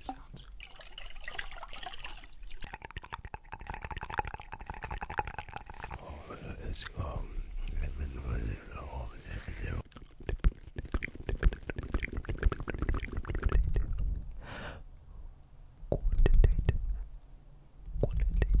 sounds. Oh, it's um. Quantitative, quantitative,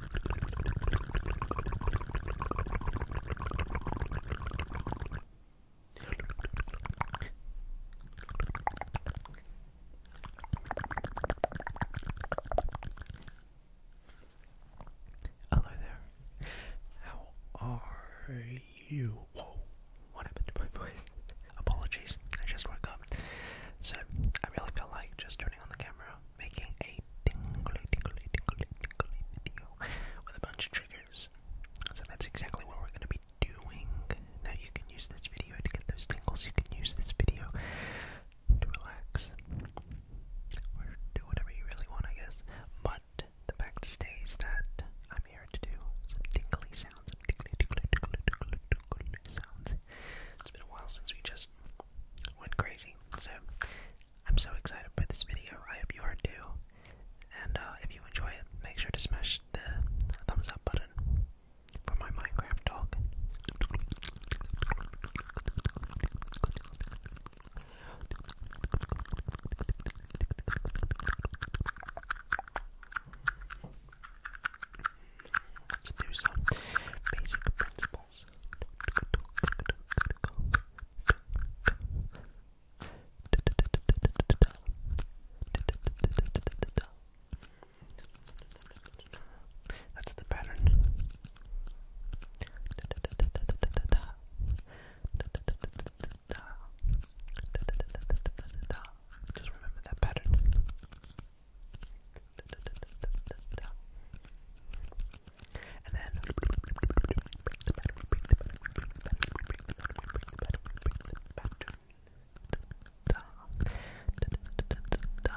Hello there. How are you? Whoa, what happened to my voice? Apologies, I just woke up. So, I really feel like just turning on the camera making a tingly, tingly, tingly, tingly video with a bunch of triggers. So that's exactly what we're going to be doing. Now you can use this video to get those tingles. You can use this video to relax or do whatever you really want, I guess. But the fact stays that I'm here to do some tingly sounds, tingly, tingly, tingly, tingly, tingly sounds. It's been a while since we just went crazy, so I'm so excited by this video. I hope you are too. And uh, if you enjoy it, make sure to smash the thumbs up button for my Minecraft talk. let do some basic principles sounds. That's the pattern. Just remember that pattern. And then the pattern, repeat the pattern, repeat the pattern, repeat the pattern, repeat the pattern, repeat the pattern. Da da da da da.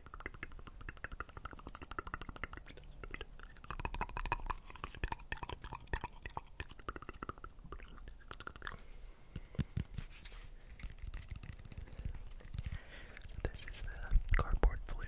This is the cardboard flute.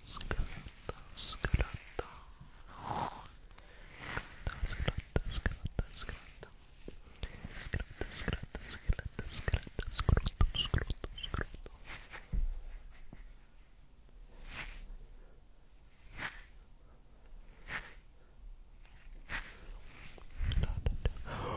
Scaletta, scaletta. Scaletta, scaletta, scaletta. Scaletta, scaletta, scaletta, scaletta. Scrotto, scrotto, scrotto. Oh.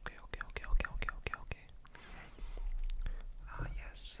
Okay, okay, okay, okay, okay, okay, okay. Ah, yes.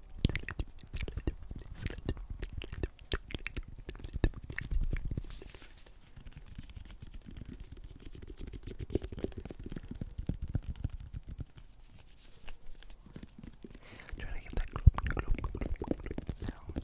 Try to get that glop, glop, glop, glop sound. Good.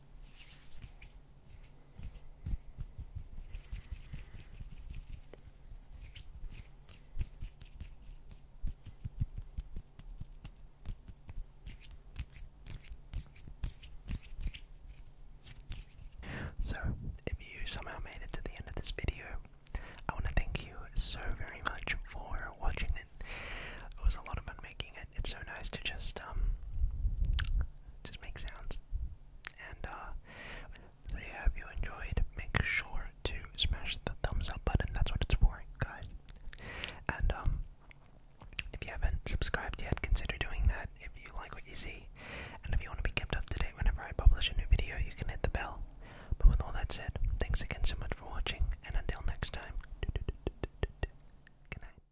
so, if you somehow made it to the end of this video, I want to thank you so very much for watching it. It was a lot of fun making it, it's so nice to just um just make sounds. And uh so if you enjoyed, make sure to smash the thumbs up button. That's what it's for, guys. And um, if you haven't subscribed yet, consider doing that if you like what you see. And if you want to be kept up to date whenever I publish a new video, you can hit the bell. But with all that said, thanks again so much for watching, and until next time, good night.